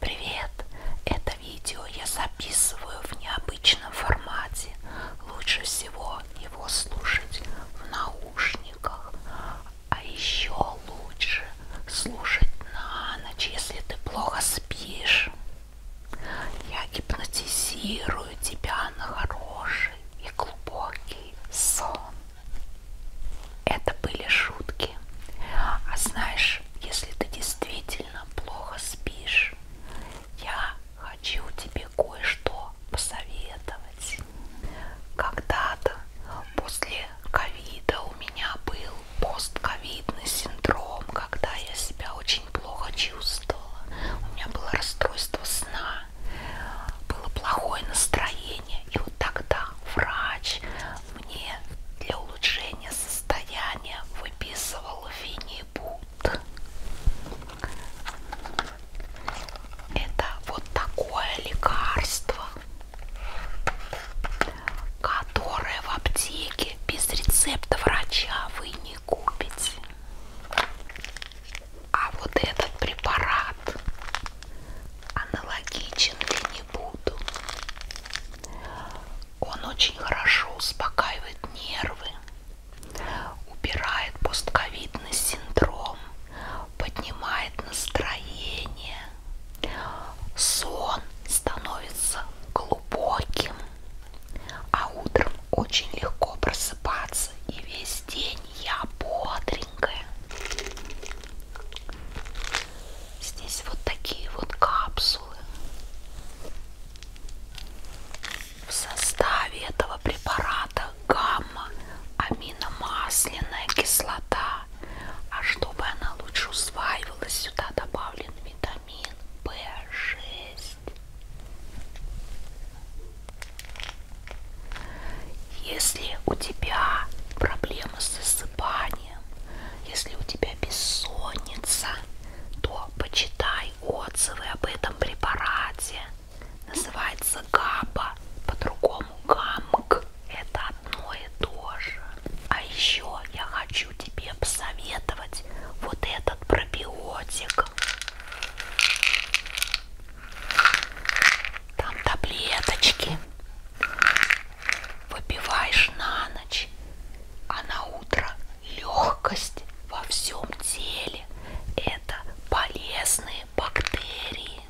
Привет! Это видео я записываю в необычном формате. Лучше всего его слушать в наушниках, а еще лучше слушать на ночь, если ты плохо спишь. Я гипнотизирую тебя на хороший и глубокий сон это были шутки. А знаешь, если ты действительно плохо спишь, я хочу тебе кое-что посоветовать. Когда-то после ковида у меня был постковидный синдром, когда я себя очень плохо чувствовала. У меня было расстройство сна, было плохое настроение. И вот тогда врач мне для улучшение состояния выписывал Винни Бут. Это вот такое лекарство, которое в аптеке без рецепта врача вы не купите. А вот этот препарат аналогичен ли не буду? Он очень хорошо успокаивает нервы, убирает постковидный синдром, поднимает настроение, сон становится глубоким, а утром очень легко просыпаться и весь день я бодренькая. Здесь вот такие вот капсулы. В составе этого препарата гамма аминомасляная кислота. А чтобы она лучше усваивалась, сюда добавлен витамин В6. Если у тебя проблемы с засыпанием, вниманием. Если у тебя бессонница, то почитай отзывы об этом препарате. Называется ГАБА, по-другому ГАМК. Это одно и то же. А еще я хочу тебе посоветовать вот этот пробиотик. Там таблеточки Выпиваешь на ночь, а на утро легкость во всем теле. Это полезные бактерии.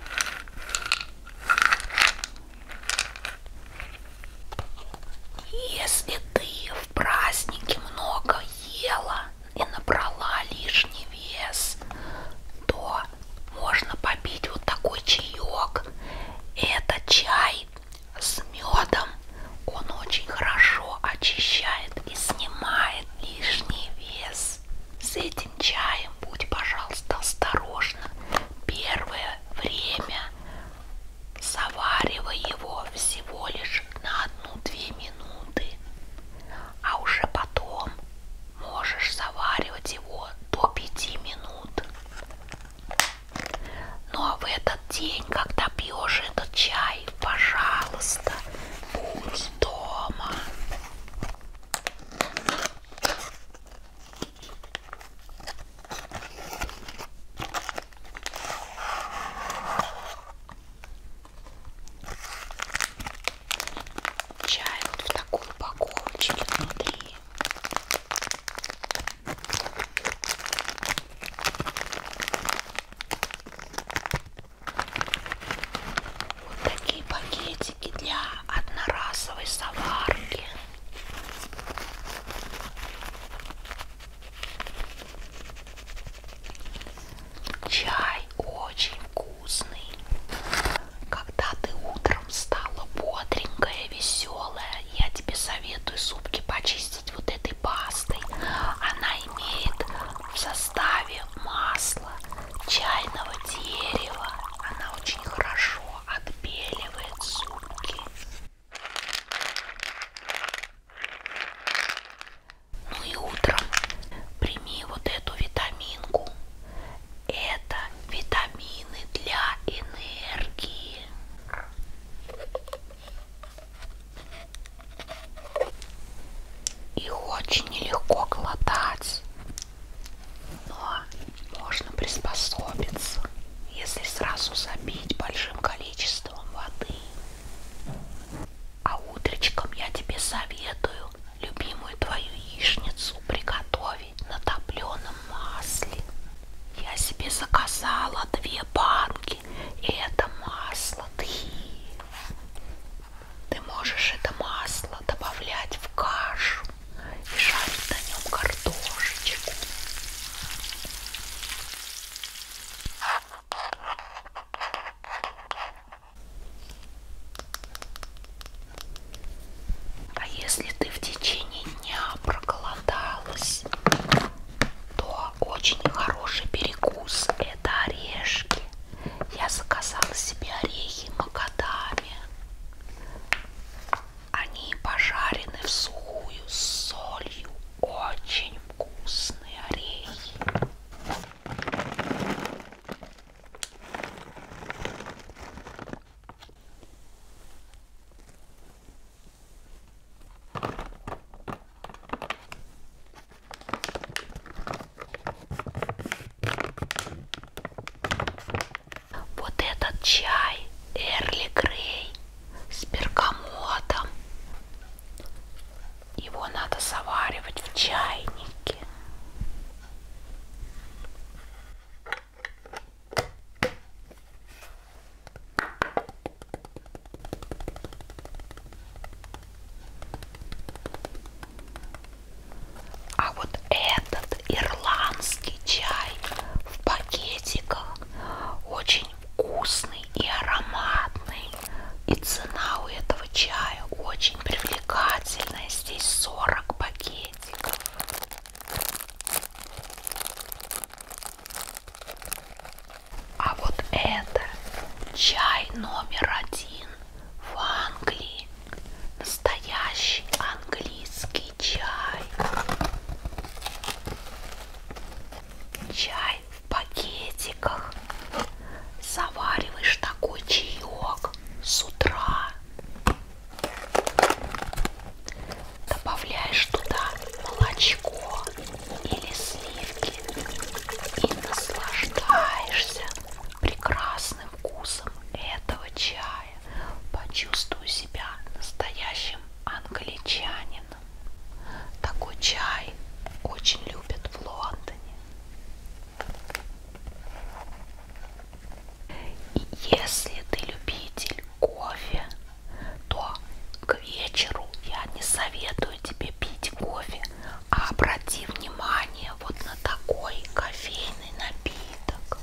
Если ты в празднике много ела и набрала лишний вес, то можно попить вот такой чаек. Это чай с медом. Он очень хорошо очищает и снимает лишний вес. С этим чаем будь, пожалуйста, осторожна. Первое время заваривай его всего лишь на одну-две минуты, а уже потом можешь заваривать его до 5 минут. Но ну, а в этот день, когда пьешь этот чай, пожалуйста, будь дома. Чай вот в такой упаковочке внутри. Окей. Вот такие пакетики для одноразовой соварки. Чай очень вкусный вкусный. Когда ты утром стала бодренькая, веселая, я тебе советую зубки почистить вот этой пастой. Она имеет в составе масло чайного дерева. Она очень хорошо отбеливает зубки. Ну и утром прими вот эту витаминку это витамины для энергии. Их очень нелегко глотать, но можно приспособиться, если сразу забить большим количеством воды. А утречком я тебе советую любимую твою яичницу приготовить на топленом масле. Я себе заказала две банки, и это масло тхи. Ты можешь это масло добавлять в кашу и жарить на нем картошечку. А если ты в течение дня проголодалась, то очень хороший перекус – это орешки. Я заказала себе орехи макадами. Они пожарены в сухую с солью. Очень вкусные орехи. Вот этот чай Эрли Грей с бергамотом. Его надо заваривать в чайнике. А вот этот ирландский чай в пакетиках очень вкусный и ароматный. И цена у этого чая очень привлекательная привлекательная. Здесь 40 пакетиков. А вот это чай номер один в Англии. Настоящий английский чай. Чай в пакетиках завариваешь такой чаек с утра. Добавляешь туда молочко или сливки и наслаждаешься прекрасным вкусом этого чая. Почувствуй себя настоящим англичанином. Такой чай очень любят в Лондоне. И если ты любитель кофе, то к вечеру я не советую тебе пить кофе, а обрати внимание вот на такой кофейный напиток.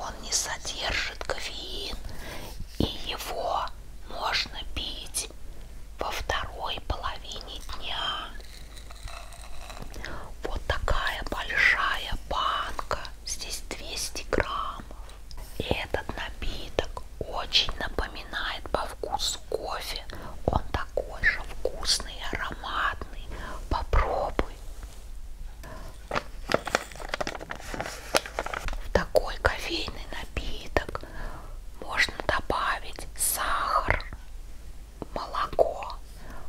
Он не содержит кофеин, и его можно пить быть во второй половине дня. Вот такая большая банка, здесь 200 граммов. И этот напиток очень напоминает по вкусу кофе. Он такой же вкусный и ароматный. Попробуй. В такой кофейный напиток можно добавить сахар, молоко,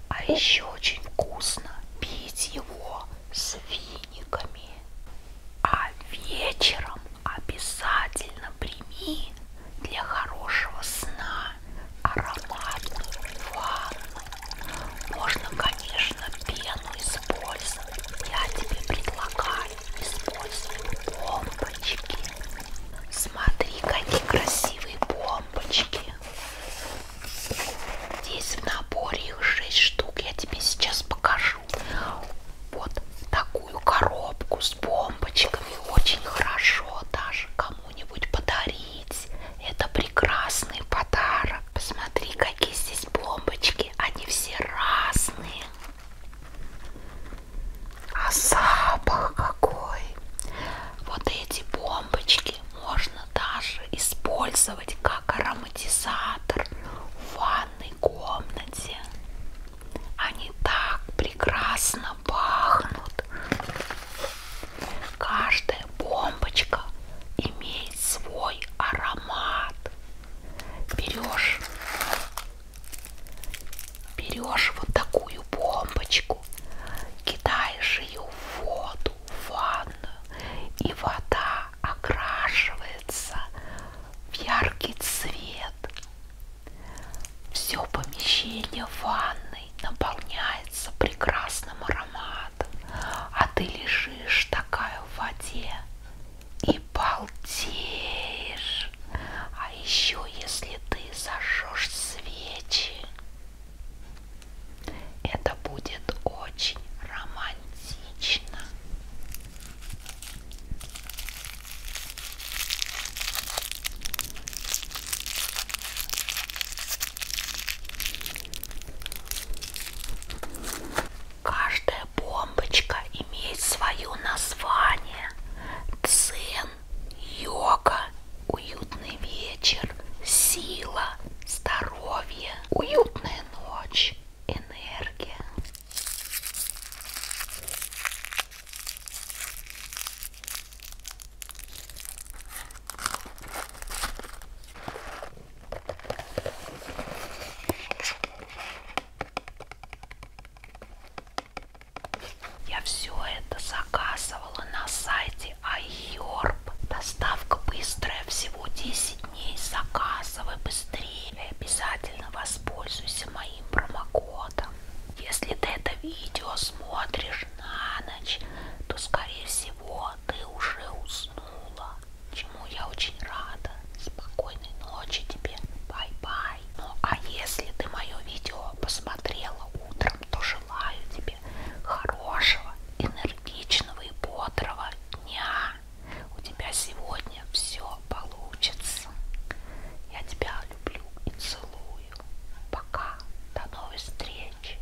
а еще очень вкусно пить его с финиками. А вечером обязательно прими для хорошего сна ароматную ванну. Можно, конечно, пену использовать. Я тебе предлагаю используем бомбочки. Смотри, какие красивые бомбочки. Здесь в наборе их 6 штук. Я тебе сейчас покажу. Вот такую коробку с бомбочками. Очень хорошо даже кому-нибудь подарить. Это прекрасный подарок. Посмотри, какие здесь бомбочки. Они все разные. А запах какой! Вот эти бомбочки можно даже использовать как ароматизатор в ванной комнате. Они так прекрасно пахнут. Каждая бомбочка имеет свой аромат берешь, берешь вот такую бомбочку, кидаешь ее в воду, в ванну, и вода окрашивается в яркий цвет. Все помещение ванной наполняется прекрасным ароматом, а ты лежишь такая в воде и балдеешь. А еще если ты зажжешь свечи, это будет очень романтично. Каждая бомбочка имеет свое название. Цен, йога, уютный вечер, сила, здоровье, уютная ночь, энергия. Я все это заказывала на сайте iHerb. Доставка быстрая, всего 10 дней. Заказывай быстрее. И обязательно воспользуйся моим промокодом. Если ты это видео смотришь на ночь, то, скорее всего, ты уже уснул уснула, чему я очень рада. Спокойной ночи тебе, бай-бай. Ну а если ты мое видео посмотрела утром, то желаю тебе хорошего, энергичного и бодрого дня. У тебя сегодня все получится. Я тебя люблю и целую. Пока. До новой встречи.